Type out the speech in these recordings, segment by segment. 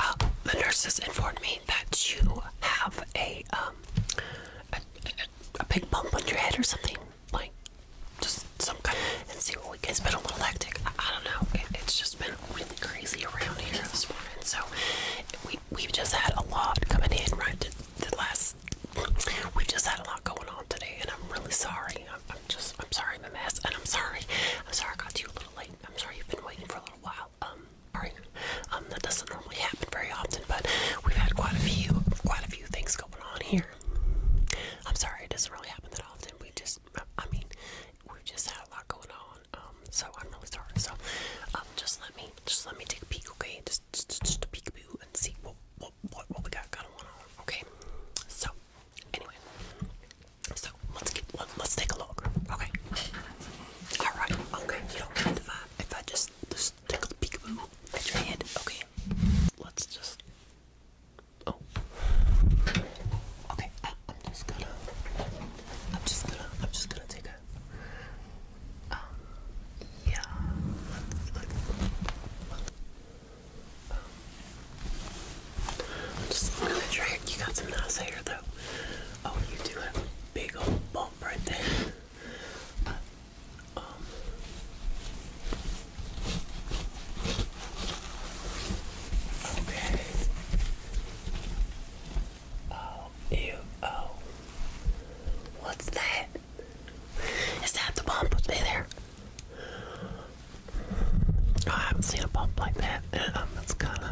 Uh, the nurses informed me that you have a um a, big bump on your head or something like just some kind of. and see what we can. It's been a little hectic. I, don't know. it's just been really crazy around here this morning. So we we've just had a lot coming in right the, the last. We have just had a lot going on today, and I'm really sorry. I'm, I'm just I'm sorry I'm a mess, and I'm sorry I'm sorry I got you late. I'm sorry you've been waiting for a little while. Um, sorry. Um, that doesn't normally happen very often, but we've had quite a few, quite a few things going on here. I'm sorry it doesn't really happen that often. We just, I mean, we've just had a lot going on. Um, so I'm really sorry. So, um, just let me, just let me take a peek, okay? Just, just, just a peekaboo and see what, what, what, what we got going on. Okay. So, anyway, so let's get let, us take a look. Okay. All right. Okay. You don't mind if I if I just just take a peekaboo at your hand. Okay. Let's just. Oh. Okay. I, am just gonna. I'm just gonna. I'm just gonna take a. Um, yeah just gonna try it. You got some nice hair though. Oh, you do have a big old bump right there. Oh, ew, oh. What's that? Is that the bump? Stay there. I haven't seen a bump like that. That's uh, um, kind of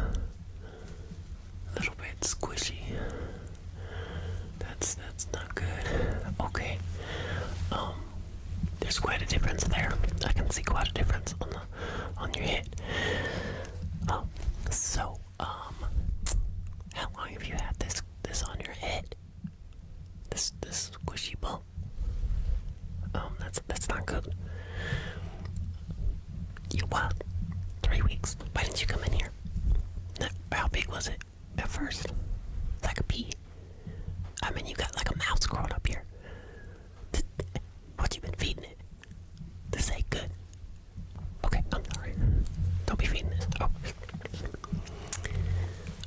a little bit squishy. That's that's not good. Okay. Um, there's quite a difference there. I can see quite a difference on the on your head. Um, so um, how long have you had this this on your head? This this squishy bump. Oh, that's that's not good. You what? Three weeks. Why didn't you come in here? How big was it at first? Like a pea. I mean, you got like a mouse crawled up here. What you been feeding it? This ain't good. Okay, I'm sorry. Don't be feeding this. Oh.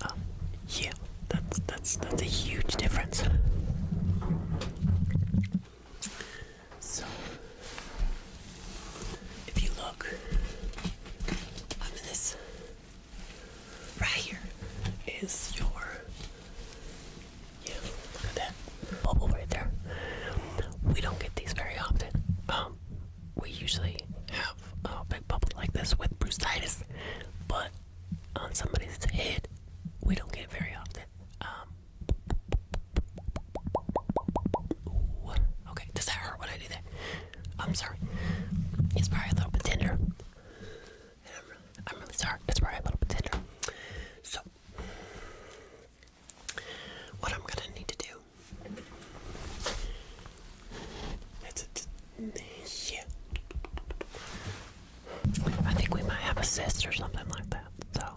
Um, yeah. That's that's that's a huge difference. So if you look, this right here is your yeah, look at that bubble right there. We don't get these very often. Um we usually have a big bubble like this with brucitis, but on somebody's head. We don't get very often. Um, okay, does that hurt when I do that? I'm sorry. It's probably a little bit tender. I'm, really, sorry. It's probably a little bit tender. So, what I'm gonna need to do. It's, it's, I think we might have a cyst or something like that. So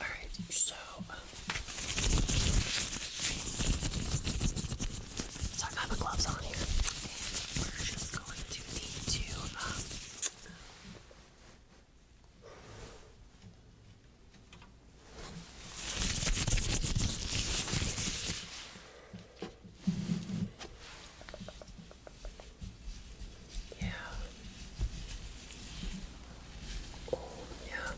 Alright, so um, so I got the gloves on here, we're just going to need to um, yeah. Oh, yeah.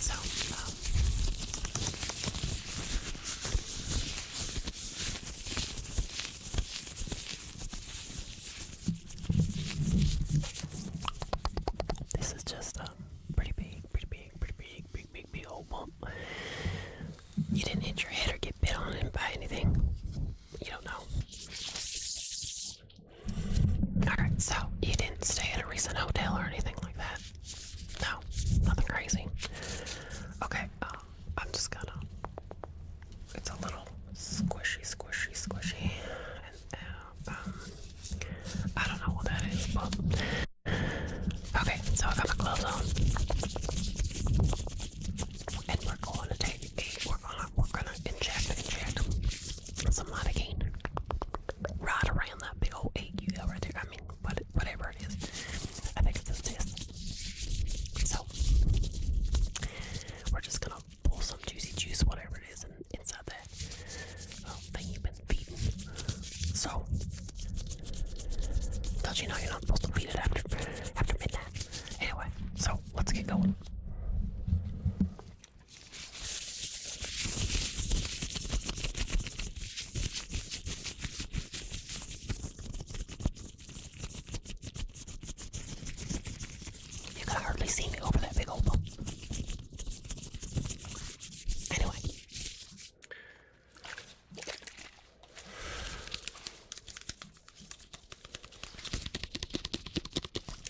So, um, this is just a um, pretty big, pretty big, pretty big, big, big, big old bump. You didn't hit your head or get bit on it by anything. You don't know. Alright, so you didn't stay at a recent hotel or anything like that? No, nothing crazy. Okay, um, I'm just gonna it's a little squishy, squishy, squishy. Um, I don't know what that is, but okay. So I got my gloves on, and we're going to take a. We're gonna we're gonna inject inject some lidocaine right around that big old egg you got right there. I mean, whatever it is, I think it's this. So we're just gonna pull some juicy juice, whatever it is, and inside oh, that um, thing you've been feeding. So, does not you know you're not supposed to feed it after after midnight? Anyway, so let's get going. You can hardly see me over that big old bump. Anyway.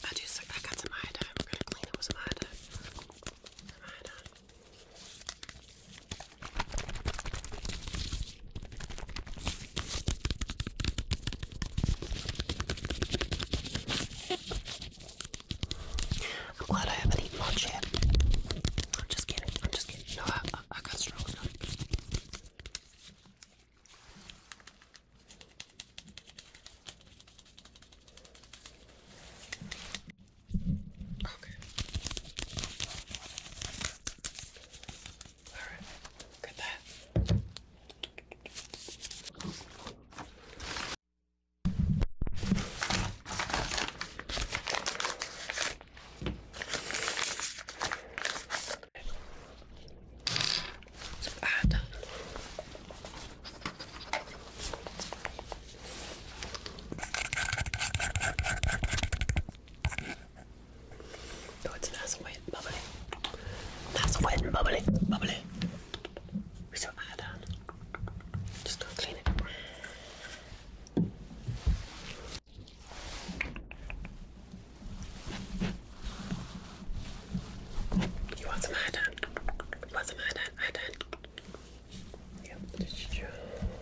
I just I got some iodine. We're gonna clean it with iodine. Some iodine. I'm glad I haven't eaten much yet. I'm just kidding. I'm just kidding. No, I, got strong Okay. Alright, look at that. So add Oh, it's nice and wet bubbly. Nice wet bubbly. Bubbly. We still add on. Just do clean it. You want some iodine? You want some iodine? Iodine? Yep.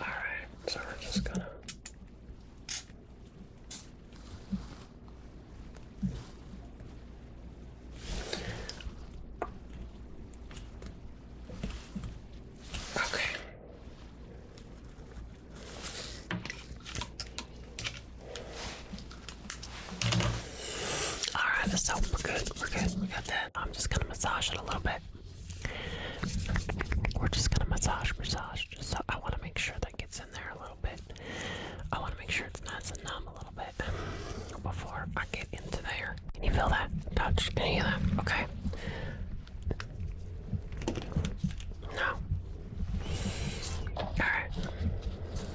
Alright, so we're just gonna. Okay. All right, so we're good. We're good. We got that. I'm just gonna massage it a little bit. We're just gonna massage, massage. Just so I want to make sure that gets in there a little bit. I want to make sure it's nice and numb a little bit before I get into there. Can you feel that? Touch any of that? Okay. No. All right.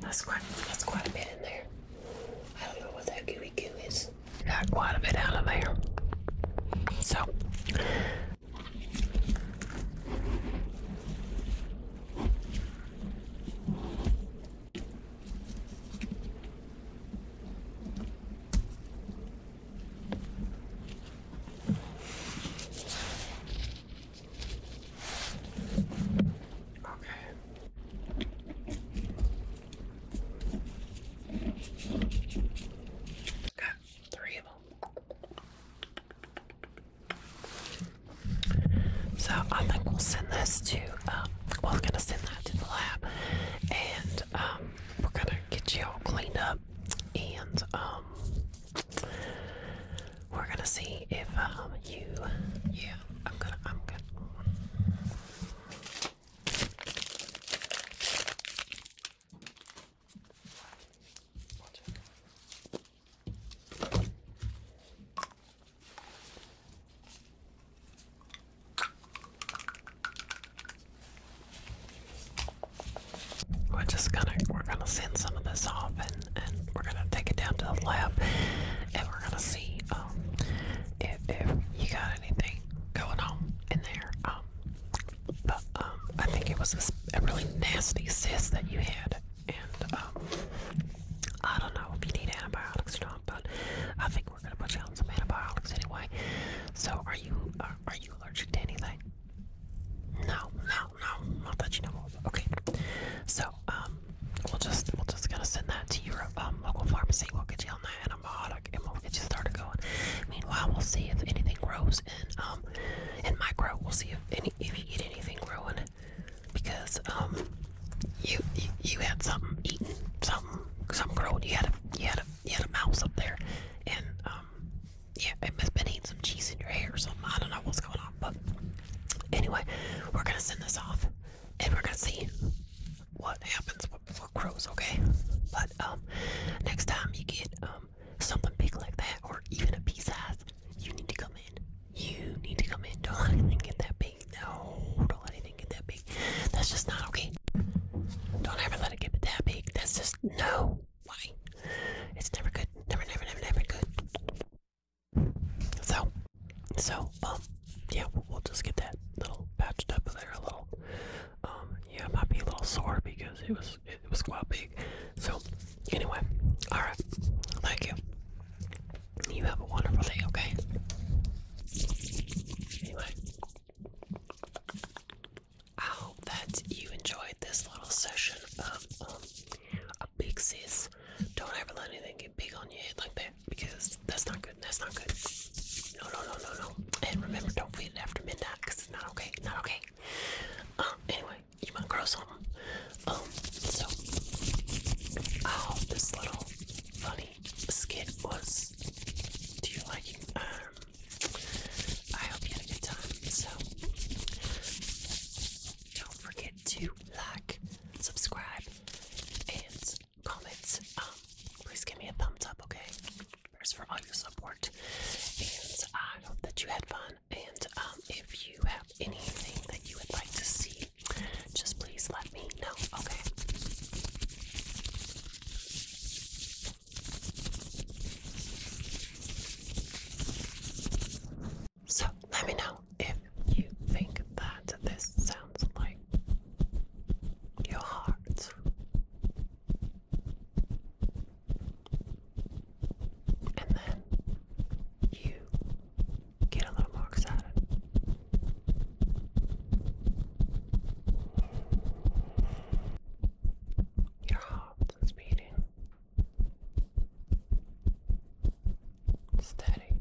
that's quite that's quite a bit in there. I don't know what that gooey goo is. Got quite a bit out of there. So Okay. Got three of them. So I think we'll send this to, uh, we're gonna send that to the lab, and um, we're gonna get you all cleaned up, and um, we're gonna see if um, you, yeah, I'm gonna, I'm gonna. We're just gonna we're gonna send some of this off and, and we're gonna take it down to the lab and we're gonna see um if if you got anything going on in there. Um but um, I think it was a, a really nasty cyst that you had, and um, I don't know if you need antibiotics or not. But I think we're gonna put you on some antibiotics anyway. So, are you are, uh, are you allergic to anything? No, no, no, not that you know of. Okay, so um, we'll just we'll just gonna send that to your um, local pharmacy. We'll get you on that antibiotic like it, it just started going. Meanwhile, we'll see if anything grows and and um, micro. We'll see if any if you eat anything growing because um you you, you had something eaten something something growing. You had a you had a you had a mouse up there and um yeah it must been eating some cheese in your hair or something. I don't know what's going on, but anyway, we're gonna send this off and we're gonna see what happens for crows, okay? But um, next time you get um something big like that, or even a pea size, you need to come in. You need to come in. Don't let anything get that big. No, don't let anything get that big. That's just not okay. Don't ever let it get that big. That's just no. Why? It's never good. Never, never, never, never good. So, so um, yeah, we'll, just get that little patched up there, a little um, yeah, might be a little sore because it was it was quite big. So anyway, all right. Thank you. You have a wonderful day. Okay. Anyway, I hope that you enjoyed this little session of um, a big sis. Don't ever let anything get big on your head like that because that's not good. That's not good. No, no, no, no, no. And remember, don't feed it after midnight because it's not okay. Not okay. Um, anyway, you might grow something. Um, so I oh, hope this little funny skit was to your liking. Um, I hope you had a good time. So don't forget to like, subscribe, and comments, um, please give me a thumbs up, okay? Thanks for all your support, and I hope that you had fun. And um, if you have anything that you would like to see, just please let me know, okay? So let me know if you think that this sounds like your heart. And then you get a little more excited. Your heart is beating steady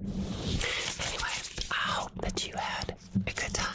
Anyway, I hope that you had a good time.